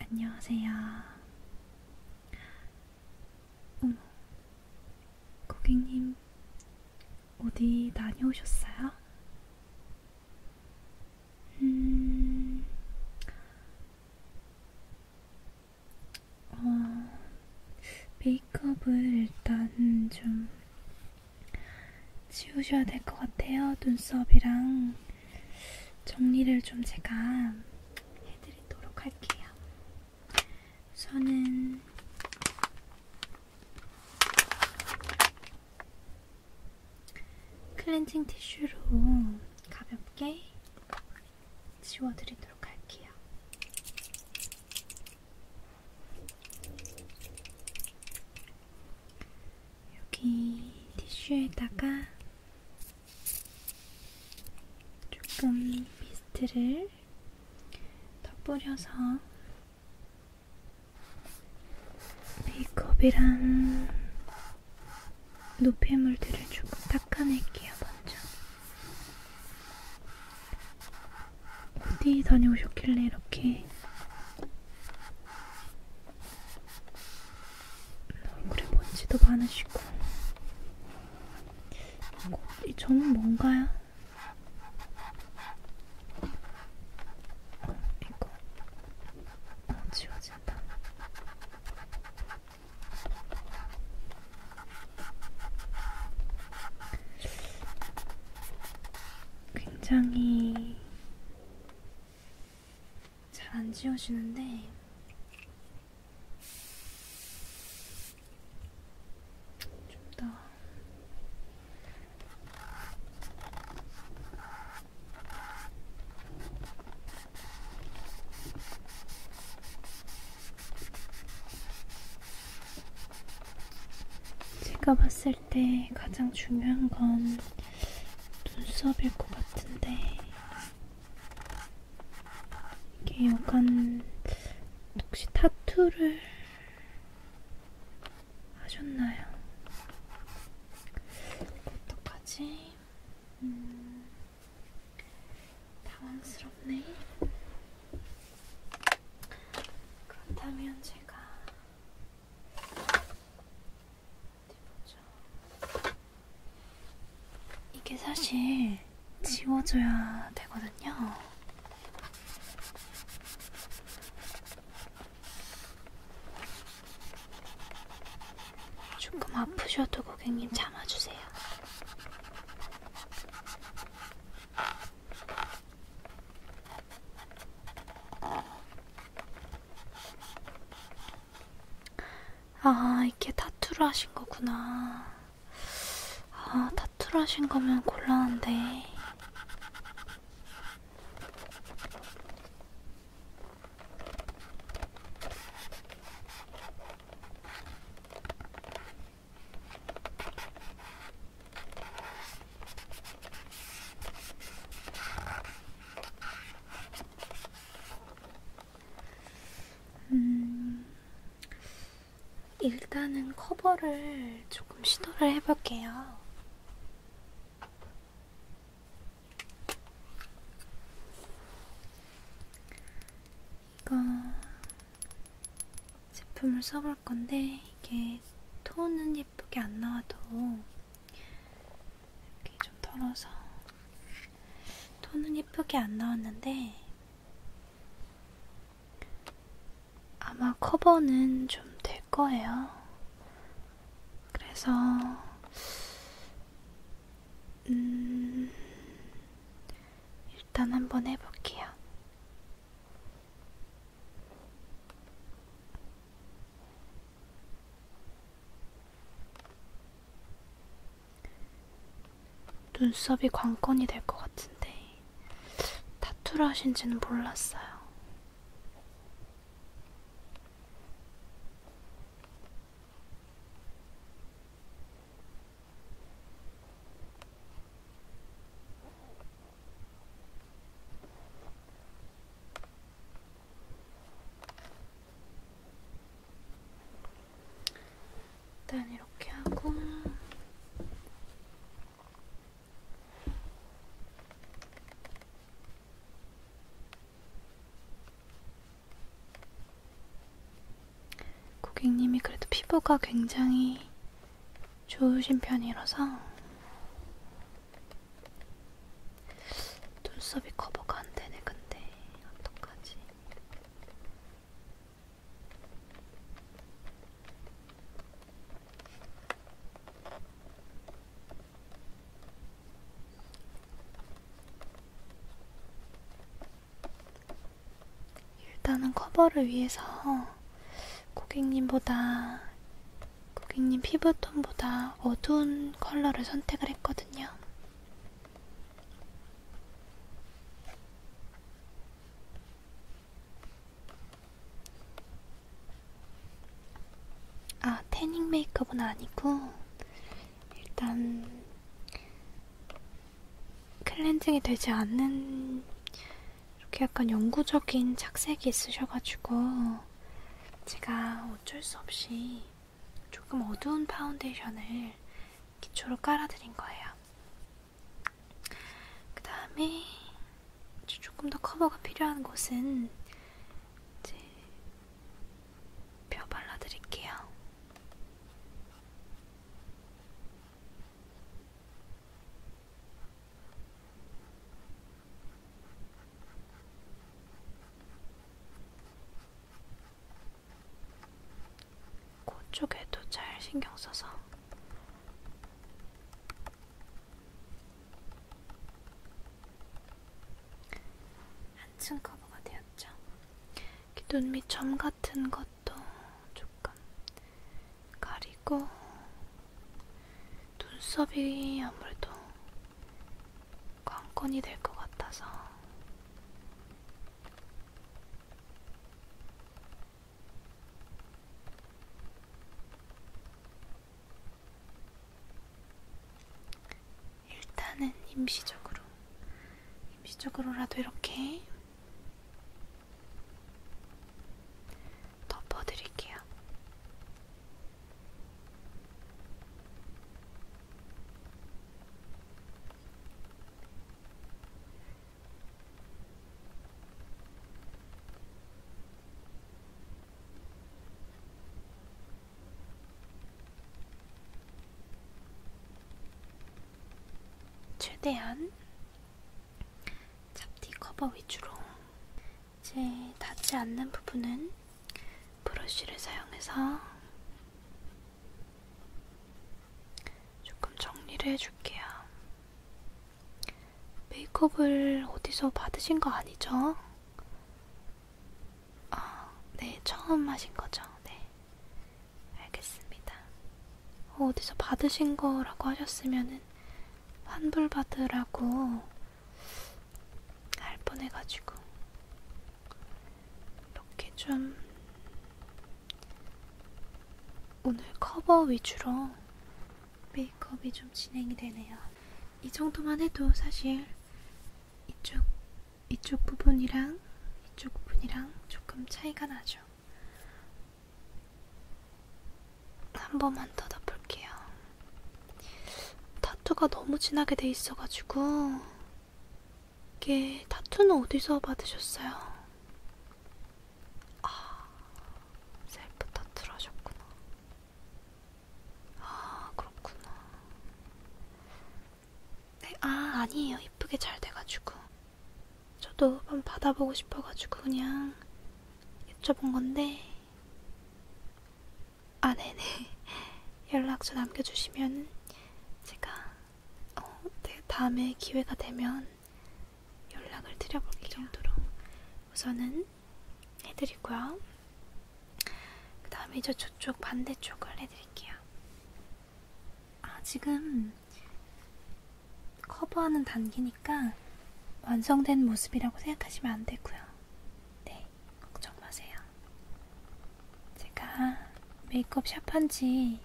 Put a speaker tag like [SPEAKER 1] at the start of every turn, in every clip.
[SPEAKER 1] 안녕하세요. 어머, 고객님 어디 다녀오셨어요? 음, 어, 메이크업을 일단 좀 지우셔야 될 것 같아요. 눈썹이랑. 정리를 좀 제가 해드리도록 할게요. 우선은 클렌징 티슈로 가볍게 지워드리도록 할게요. 여기 티슈에다가 조금 미스트를 더 뿌려서 메이크업이랑 노폐물들을 조금 닦아낼게요, 먼저. 어디 다녀오셨길래 이렇게 얼굴에 먼지도 많으시고 이 점은 뭔가요? 어, 이거 어, 지워진다. 굉장히 잘안 지워지는데 좀 더 제가 봤을 때 가장 중요한 건 눈썹일 것 같은데 이게 약간 혹시 타투를 하셨나요? 어떡하지? 음, 당황스럽네. 그렇다면 제가 보자. 이게 사실 지워줘야 되거든요. 조금 아프셔도 고객님 참아주세요. 아, 이게 타투를 하신 거구나. 아, 타투를 하신 거면 곤란한데. 음, 일단은 커버를 조금 시도를 해볼게요. 이거 제품을 써볼 건데, 이게 톤은 예쁘게 안 나와도 이렇게 좀 털어서 톤은 예쁘게 안 나왔는데 아마 커버는 좀 될 거예요. 그래서 음 일단 한번 해볼게요. 눈썹이 관건이 될 것 같은데 타투를 하신지는 몰랐어요. 일단 이렇게 하고 고객님이 그래도 피부가 굉장히 좋으신 편이라서 눈썹이 커버가 안 되네, 근데. 어떡하지? 일단은 커버를 위해서 고객님보다 고객님 피부톤보다 어두운 컬러를 선택을 했거든요. 아, 태닝 메이크업은 아니고, 일단, 클렌징이 되지 않는, 이렇게 약간 영구적인 착색이 있으셔가지고, 제가 어쩔 수 없이 조금 어두운 파운데이션을 기초로 깔아드린 거예요. 그 다음에 조금 더 커버가 필요한 곳은 이제 벼 발라드릴게요. 코 쪽에도 잘 신경 써서 한층 커버가 되었죠. 기눈 밑 점 같은 것도 조금 가리고 눈썹이 아무래도 관건이 될 것 같아서 일단은 임시적으로 임시적으로라도 이렇게 덮어드릴게요. 최대한 잡티 커버 위주로 이제 닿지 않는 부분은 브러쉬를 사용해서 조금 정리를 해줄게요. 메이크업을 어디서 받으신 거 아니죠? 아, 네, 처음 하신 거죠? 네. 알겠습니다. 어, 어디서 받으신 거라고 하셨으면은 환불받으라고 할 뻔해가지고 이렇게 좀 오늘 커버 위주로 메이크업이 좀 진행이 되네요. 이 정도만 해도 사실 이쪽 이쪽 부분이랑 이쪽 부분이랑 조금 차이가 나죠. 한 번만 더 덮을게요. 타투가 너무 진하게 돼 있어가지고 이게 타투는 어디서 받으셨어요? 아 셀프 타투를 하셨구나. 아 그렇구나. 네, 아 아니에요 이쁘게 잘 돼가지고 저도 한번 받아보고 싶어가지고 그냥 여쭤본 건데 아 네네 연락처 남겨주시면 제가 어, 네, 다음에 기회가 되면 연락을 드려볼게요. 그 정도로 우선은 해드리고요. 그 다음에 저 저쪽 반대쪽을 해드릴게요. 아 지금 커버하는 단계니까 완성된 모습이라고 생각하시면 안 되고요. 네, 걱정 마세요. 제가 메이크업 샵한 지한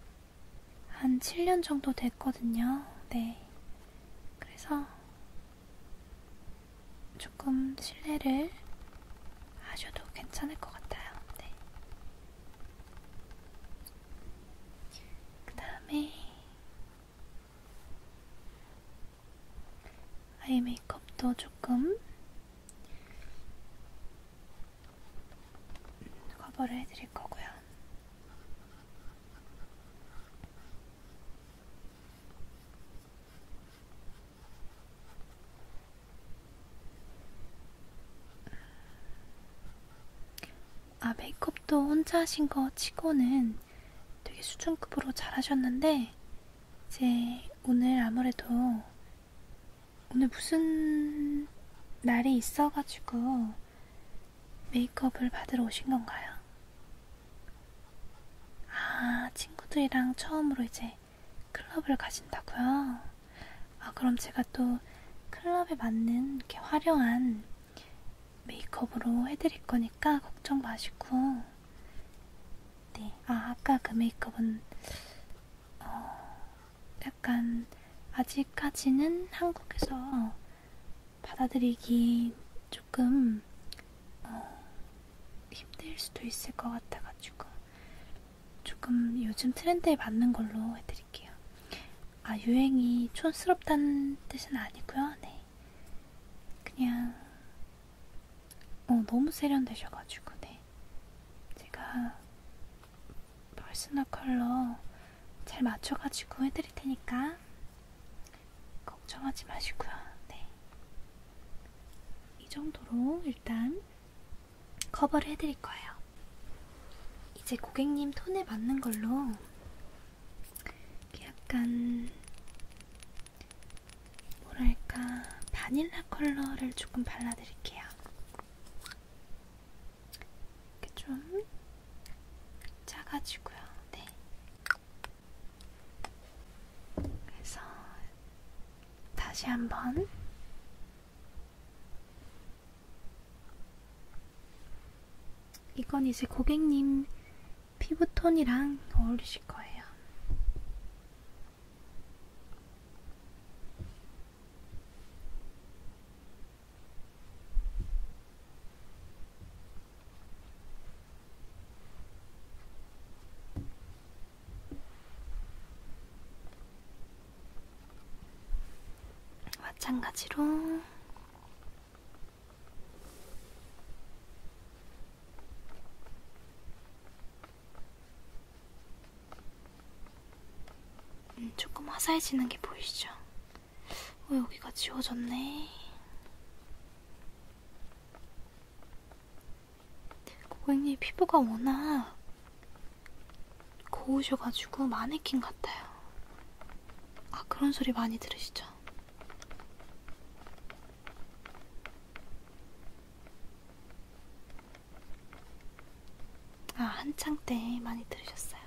[SPEAKER 1] 7년 정도 됐거든요. 네. 그래서 조금 실례를 하셔도 괜찮을 것 같아요. 네. 그 다음에 아이 메이크업도 조금 커버를 해드릴 거고요. 아, 메이크업도 혼자 하신 거 치고는 되게 수준급으로 잘 하셨는데, 이제 오늘 아무래도 오늘 무슨 날이 있어가지고 메이크업을 받으러 오신 건가요? 아, 친구들이랑 처음으로 이제 클럽을 가신다고요? 아, 그럼 제가 또 클럽에 맞는 이렇게 화려한 메이크업으로 해드릴 거니까 걱정 마시고 네, 아, 아까 그 메이크업은 어, 약간 아직까지는 한국에서 어, 받아들이기 조금 어, 힘들 수도 있을 것 같아가지고 조금 요즘 트렌드에 맞는 걸로 해드릴게요. 아, 유행이 촌스럽다는 뜻은 아니고요. 네, 그냥 어, 너무 세련되셔가지고, 네. 제가 퍼스널 컬러 잘 맞춰가지고 해드릴 테니까 걱정하지 마시고요. 네. 이 정도로 일단 커버를 해드릴 거예요. 이제 고객님 톤에 맞는 걸로 약간 뭐랄까, 바닐라 컬러를 조금 발라드릴게요. 이렇게 좀 짜가지고요. 네. 그래서 다시 한번 이건 이제 고객님 피부톤이랑 어울리실 거예요. 마찬가지로 음, 조금 화사해지는 게 보이시죠? 어, 여기가 지워졌네. 고객님 피부가 워낙 고우셔가지고 마네킹 같아요. 아, 그런 소리 많이 들으시죠? 아, 한창 때 많이 들으셨어요.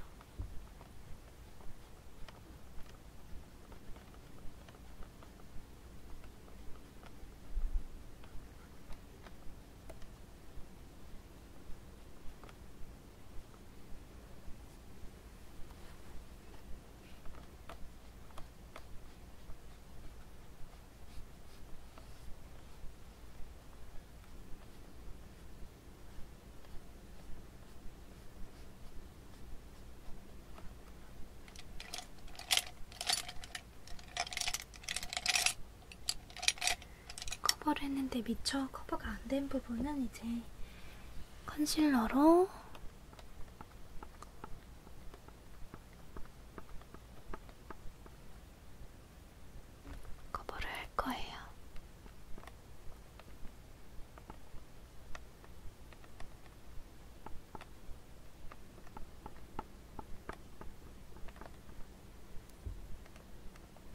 [SPEAKER 1] 커버를 했는데 미처 커버가 안 된 부분은 이제 컨실러로 거부를 할 거예요.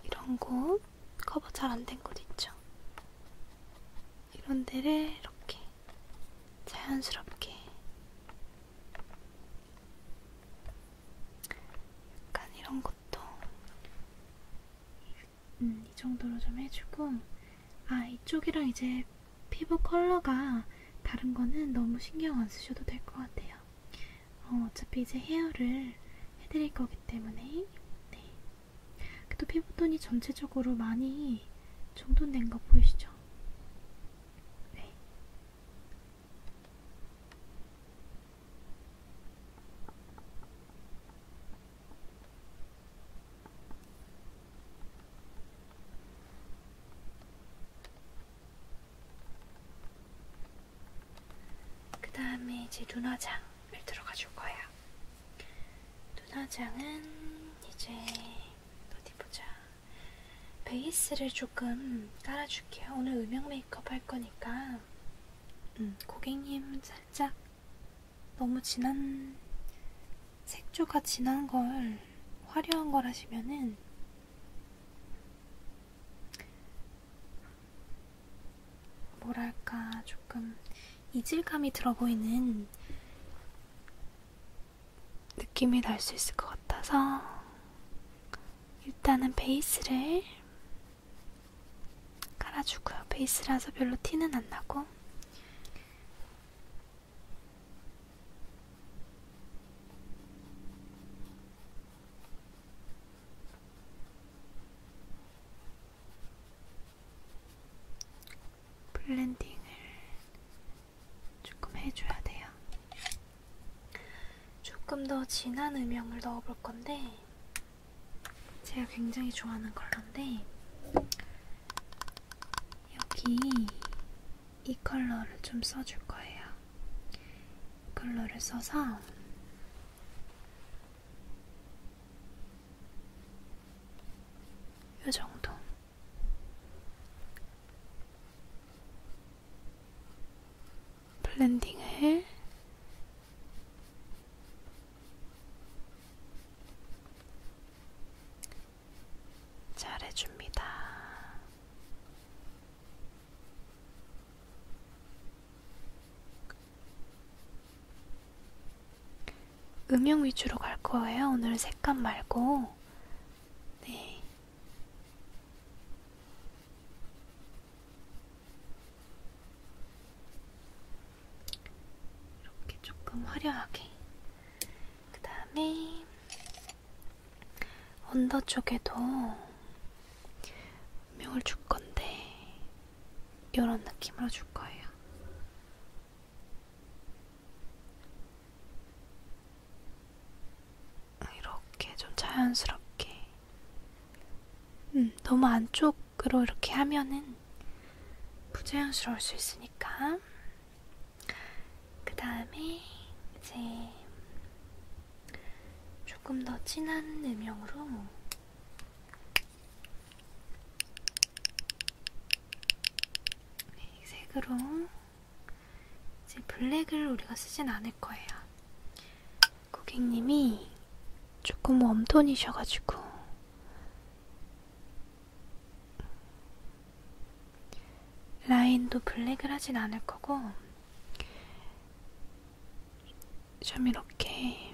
[SPEAKER 1] 이런 곳 커버 잘 안 된 곳 있죠? 이런 데를 이렇게 자연스럽게 약간 이런 것도 음, 이 정도로 좀 해주고 아 이쪽이랑 이제 피부 컬러가 다른 거는 너무 신경 안 쓰셔도 될 것 같아요. 어, 어차피 이제 헤어를 해드릴 거기 때문에 네. 그래도 피부톤이 전체적으로 많이 정돈된 거 보이시죠? 네. 그 다음에 이제 눈화장을 들어가 줄 거야. 눈화장은 이제 어디 보자. 베이스를 조금 깔아줄게요. 오늘 음영 메이크업 할 거니까 음, 고객님 살짝 너무 진한 색조가 진한 걸 화려한 걸 하시면은 뭐랄까 조금 이질감이 들어 보이는 느낌이 날 수 있을 것 같아서 일단은 베이스를 깔아주고요. 베이스라서 별로 티는 안 나고 블렌딩을 조금 해줘야 돼요. 조금 더 진한 음영을 넣어볼 건데 제가 굉장히 좋아하는 컬러인데 여기 이 컬러를 좀 써줄 거예요. 이 컬러를 써서 이 정도. 블렌딩을 잘 해줍니다. 음영 위주로 갈 거예요. 오늘 색감 말고 네. 이렇게 조금 화려하게. 그 다음에 언더 쪽에도 음영을 줄 건데, 이런 느낌으로 줄 거예요. 이렇게 좀 자연스럽게 음, 너무 안쪽으로 이렇게 하면은 부자연스러울 수 있으니까 그 다음에 이제 조금 더 진한 음영으로 색으로 이제 블랙을 우리가 쓰진 않을 거예요. 고객님이 조금 웜톤이셔가지고 라인도 블랙을 하진 않을 거고 좀 이렇게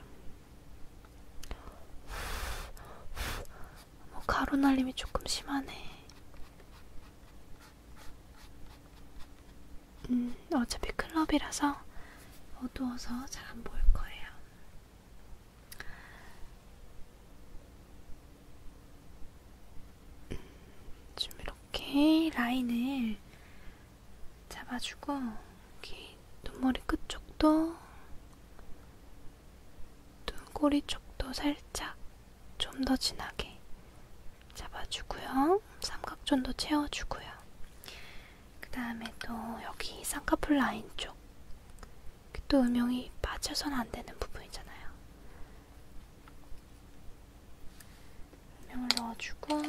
[SPEAKER 1] 어머, 가루날림이 조금 심하네. 음, 어차피 클럽이라서 어두워서 잘 안 보일 거예요. 음, 좀 이렇게 라인을 잡아주고, 여기 눈머리 끝쪽도, 눈꼬리 쪽도 살짝 좀더 진하게 잡아주고요. 삼각존도 채워주고요. 그 다음에 또 여기 쌍꺼풀 라인 쪽. 또 음영이 빠져선 안 되는 부분이잖아요. 음영을 넣어주고,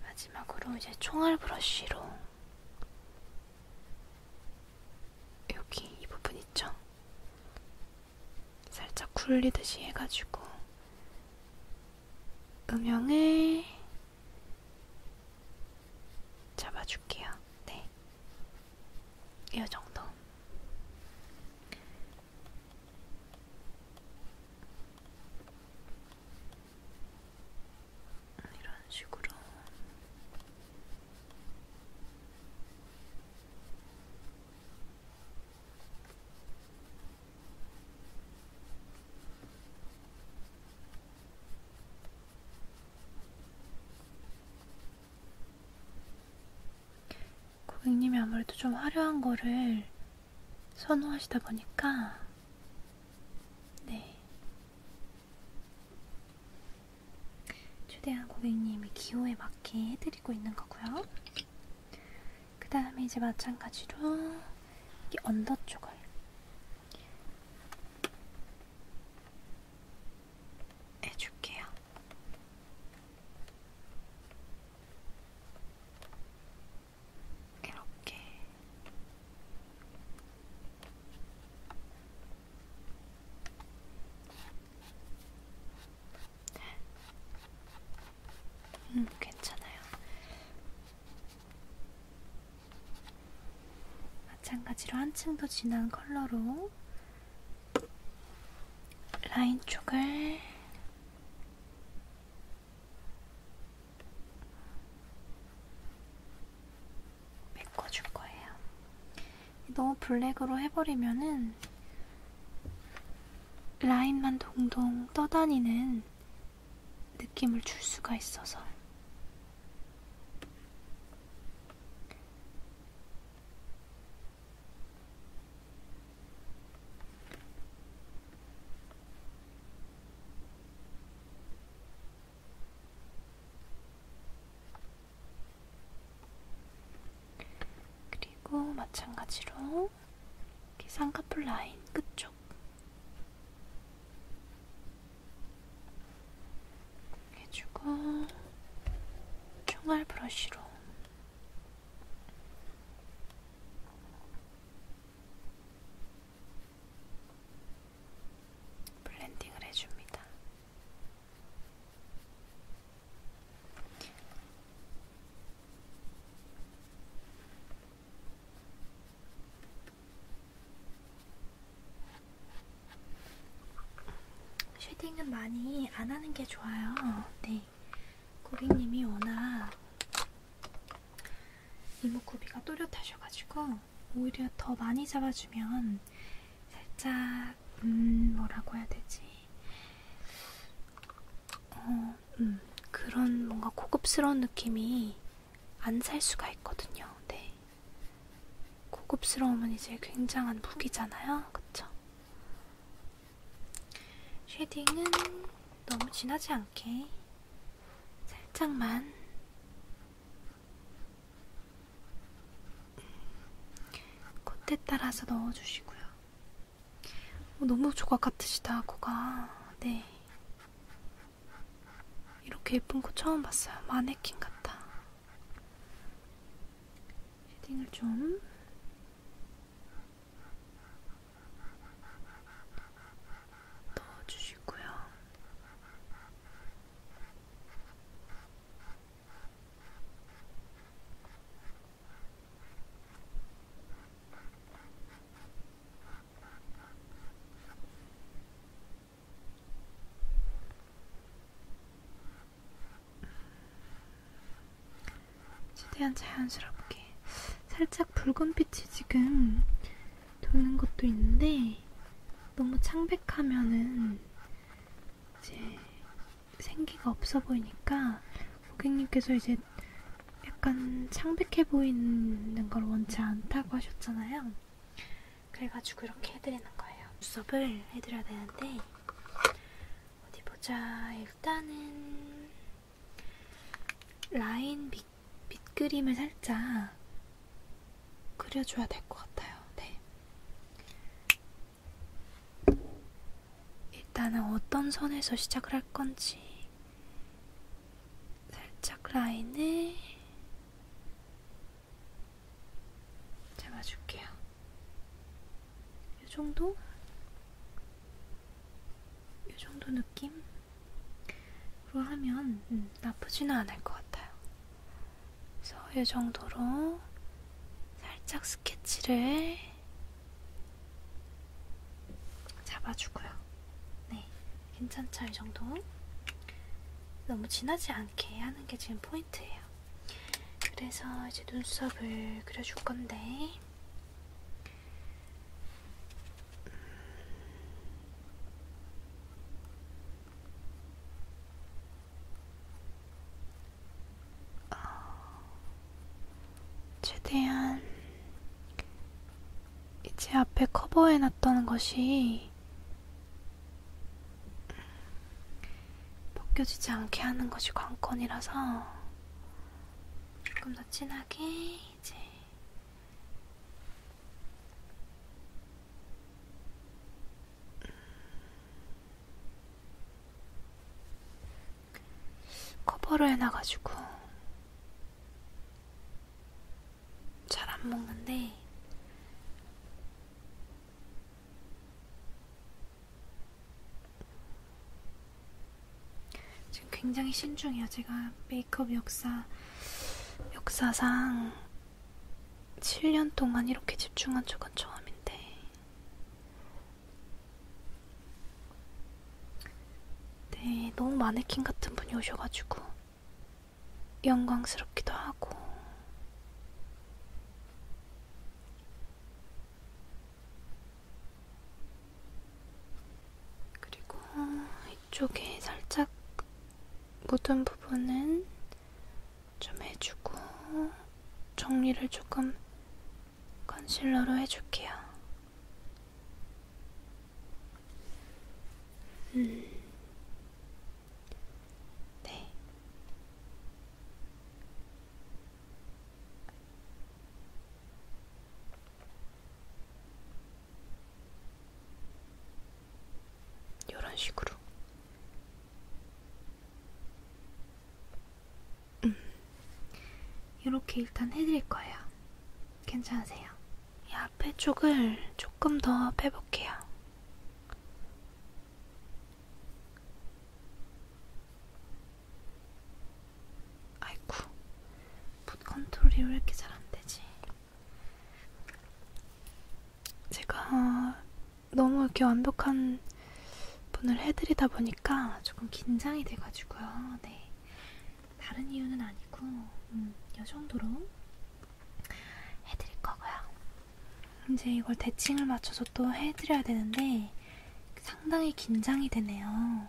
[SPEAKER 1] 마지막으로 이제 총알 브러쉬로 여기 이 부분 있죠? 살짝 굴리듯이 해가지고 음영에 잡아줄게요. 네, 이 정도. 이런 식으로 고객님이 아무래도 좀 화려한 거를 선호하시다 보니까, 네. 최대한 고객님의 기호에 맞게 해드리고 있는 거고요. 그 다음에 이제 마찬가지로 이 언더 쪽을 해줄게요. 이렇게 음, 괜찮아요. 마찬가지로 한층 더 진한 컬러로 라인 쪽을 메꿔줄 거예요. 너무 블랙으로 해버리면은 라인만 동동 떠다니는 느낌을 줄 수가 있어서. 그리고 마찬가지로 쌍꺼풀 라인 끝쪽 해주고 총알 브러쉬로 블렌딩을 해줍니다. 쉐딩은 많이 안 하는 게 좋아요. 네. 고객님이 워낙 이목구비가 또렷하셔가지고 오히려 더 많이 잡아주면 살짝 음 뭐라고 해야 되지? 어, 음, 그런 뭔가 고급스러운 느낌이 안 살 수가 있거든요. 네. 고급스러움은 이제 굉장한 무기잖아요. 그쵸? 쉐딩은 너무 진하지 않게 살짝만 콧대 따라서 넣어주시고요. 어, 너무 조각 같으시다, 코가. 네. 이렇게 예쁜 코 처음 봤어요. 마네킹 같다. 쉐딩을 좀. 넣어주시고요. 최대한 자연스럽게 살짝 붉은빛이 지금 도는 것도 있는데 너무 창백하면은 이제 생기가 없어 보이니까 고객님께서 이제 약간 창백해 보이는 걸 원치 않다고 하셨잖아요. 그래가지고 이렇게 해드리는 거예요. 눈썹을 해드려야 되는데 어디 보자. 일단은 라인 밑, 밑그림을 살짝 그려줘야 될 것 같아요. 네. 일단은 어떤 선에서 시작을 할 건지 살짝 라인을 잡아줄게요. 이 정도? 이 정도 느낌으로 하면 음, 나쁘지는 않을 것 같아요. 그래서 이 정도로 살짝 스케치를 잡아주고요. 네, 괜찮죠? 이 정도? 너무 진하지 않게 하는 게 지금 포인트예요. 그래서 이제 눈썹을 그려줄 건데 어, 최대한 이제 앞에 커버해놨던 것이 벗겨지지 않게 하는 것이 관건이라서 조금 더 진하게 이제 커버로 해놔가지고 잘 안 먹는데 지금 굉장히 신중해요. 제가 메이크업 역사 역사상 7년 동안 이렇게 집중한 적은 처음인데, 네, 너무 마네킹 같은 분이 오셔가지고, 영광스럽기도 하고, 그리고 이쪽에 살짝 묻은 부분은 좀 해주고 정리를 조금 컨실러로 해줄게요. 음. 네. 이런 식으로. 음. 이렇게 일단 해드릴 거예요. 괜찮으세요? 이 앞에 쪽을 조금 더 빼볼게요. 아이쿠, 붓 컨트롤이 왜 이렇게 잘 안 되지? 제가 너무 이렇게 완벽한 분을 해드리다 보니까 조금 긴장이 돼가지고요. 네, 다른 이유는 아니고 음, 이 정도로 해드릴 거고요. 이제 이걸 대칭을 맞춰서 또 해드려야 되는데 상당히 긴장이 되네요.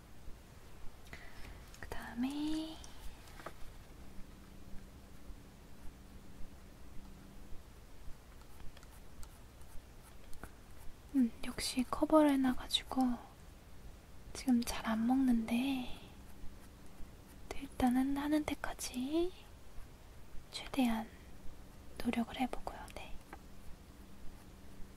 [SPEAKER 1] 그 다음에 음, 역시 커버를 해놔가지고 지금 잘 안 먹는데 일단은 하는 데까지 최대한 노력을 해보고요. 네.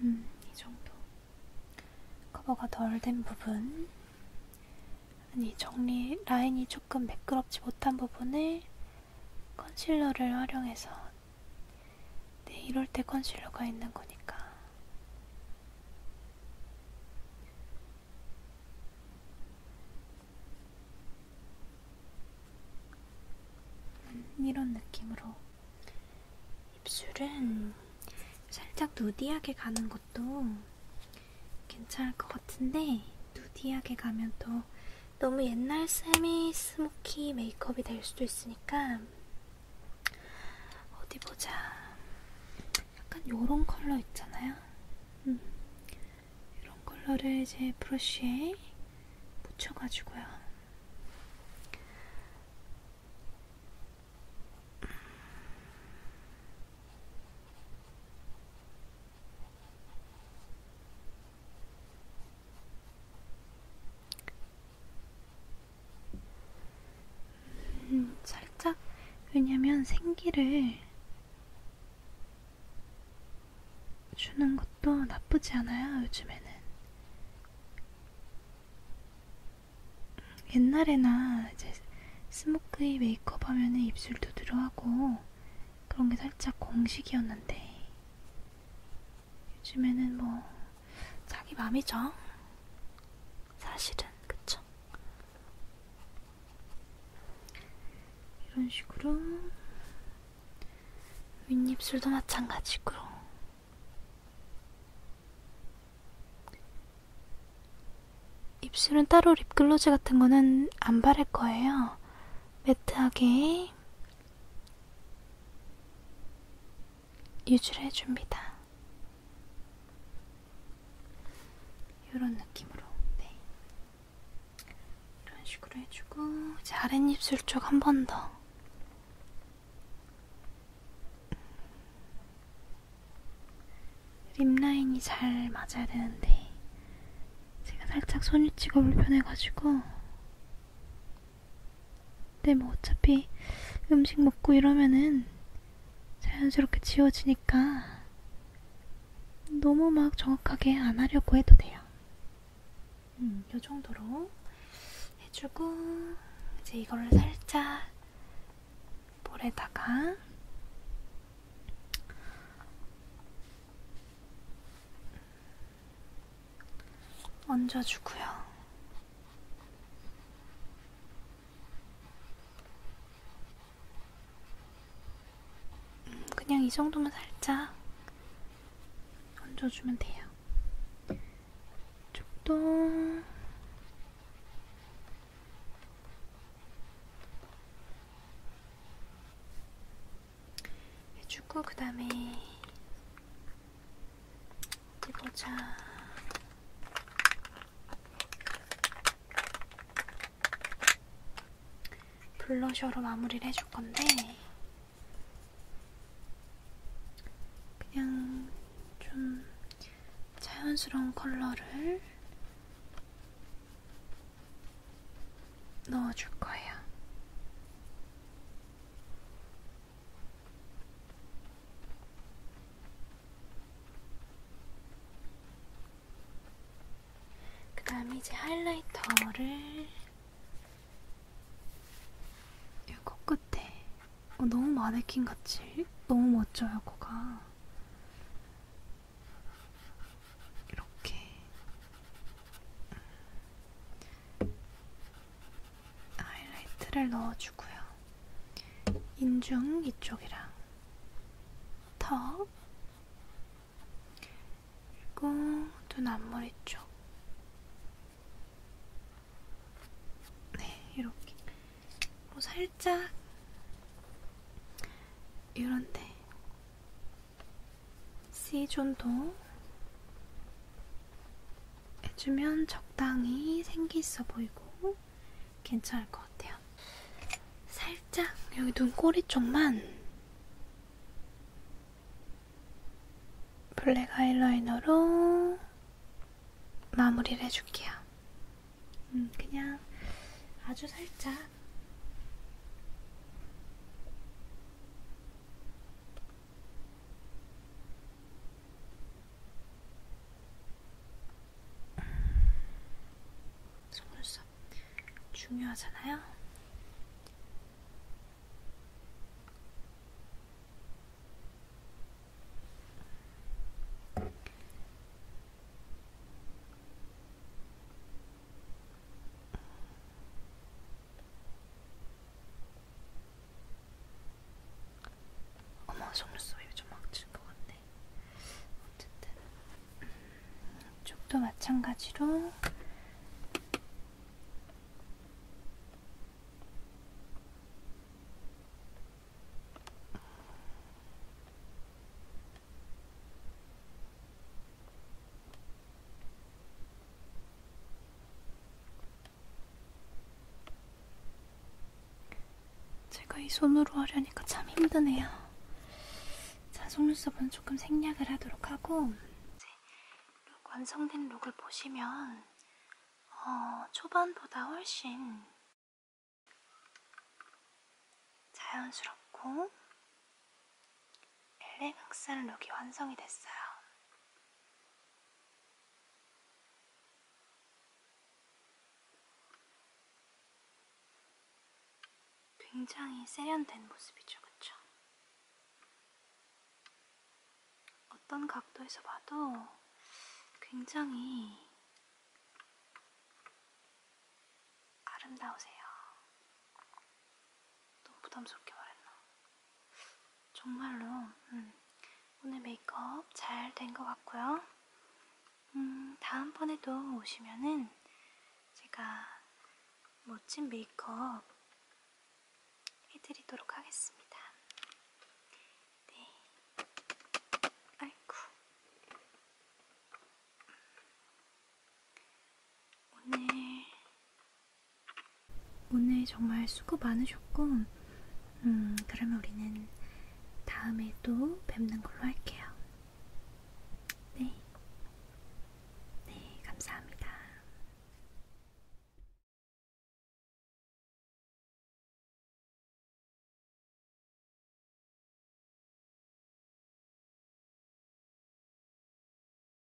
[SPEAKER 1] 음, 이 정도. 커버가 덜 된 부분. 아니, 정리, 라인이 조금 매끄럽지 못한 부분에 컨실러를 활용해서 네, 이럴 때 컨실러가 있는 거니까. 음, 이런 느낌으로 입술은 살짝 누디하게 가는 것도 괜찮을 것 같은데 누디하게 가면 또 너무 옛날 쌤의 스모키 메이크업이 될 수도 있으니까 어디 보자. 약간 요런 컬러 있잖아요. 음. 이런 컬러를 이제 브러쉬에 묻혀가지고요. 음, 살짝 왜냐면 생기를 주는 것도 나쁘지 않아요, 요즘에는. 옛날에나 이제 스모크의 메이크업 하면은 입술 두드러하고 그런 게 살짝 공식이었는데 요즘에는 뭐 자기 맘이죠. 사실은 그쵸? 이런 식으로 윗입술도 마찬가지고 입술은 따로 립글로즈 같은 거는 안 바를 거예요. 매트하게 유주를 해줍니다. 이런 느낌으로, 네. 이런 식으로 해주고, 이제 아랫입술 쪽 한 번 더. 립라인이 잘 맞아야 되는데, 제가 살짝 손이 찍어 불편해가지고, 근데 뭐 어차피 음식 먹고 이러면은 자연스럽게 지워지니까 너무 막 정확하게 안 하려고 해도 돼요. 음, 요 정도로 해주고 이제 이거를 살짝 볼에다가 얹어주고요. 음, 그냥 이 정도면 살짝 얹어주면 돼요. 쪽도 해주고 그 다음에 어디 보자. 블러셔로 마무리를 해줄 건데 그냥 좀 자연스러운 컬러를 넣어줄 거예요. 그 다음에 이제 하이라이터를 이 코끝에 어, 너무 마네킹같이 너무 멋져요 코가 이렇게 하이라이트를 넣어주고요. 인중 이쪽이랑 턱 그리고 눈 앞머리 쪽. 네, 이렇게. 뭐 살짝 이런데 C존도 해주면 적당히 생기 있어 보이고 괜찮을 것 같아요. 살짝 여기 눈꼬리 쪽만 블랙 아이라이너로 마무리를 해줄게요. 음, 그냥 아주 살짝 속눈썹 중요하잖아요. 어머 속눈썹이 좀 막힌 것 같네. 어쨌든 쪽도 마찬가지로. 제가 이 손으로 하려니까 참 힘드네요. 자, 속눈썹은 조금 생략을 하도록 하고 이제 룩 완성된 룩을 보시면 어, 초반보다 훨씬 자연스럽고 엘레강스한 룩이 완성이 됐어요. 굉장히 세련된 모습이죠, 그쵸? 어떤 각도에서 봐도 굉장히 아름다우세요. 너무 부담스럽게 말했나? 정말로 음, 오늘 메이크업 잘 된 것 같고요. 음, 다음번에도 오시면은 제가 멋진 메이크업 해드리도록 하겠습니다. 네. 아이쿠. 오늘 오늘 정말 수고 많으셨고, 음, 그러면 우리는 다음에 또 뵙는 걸로 할게요. 네. 네, 감사합니다.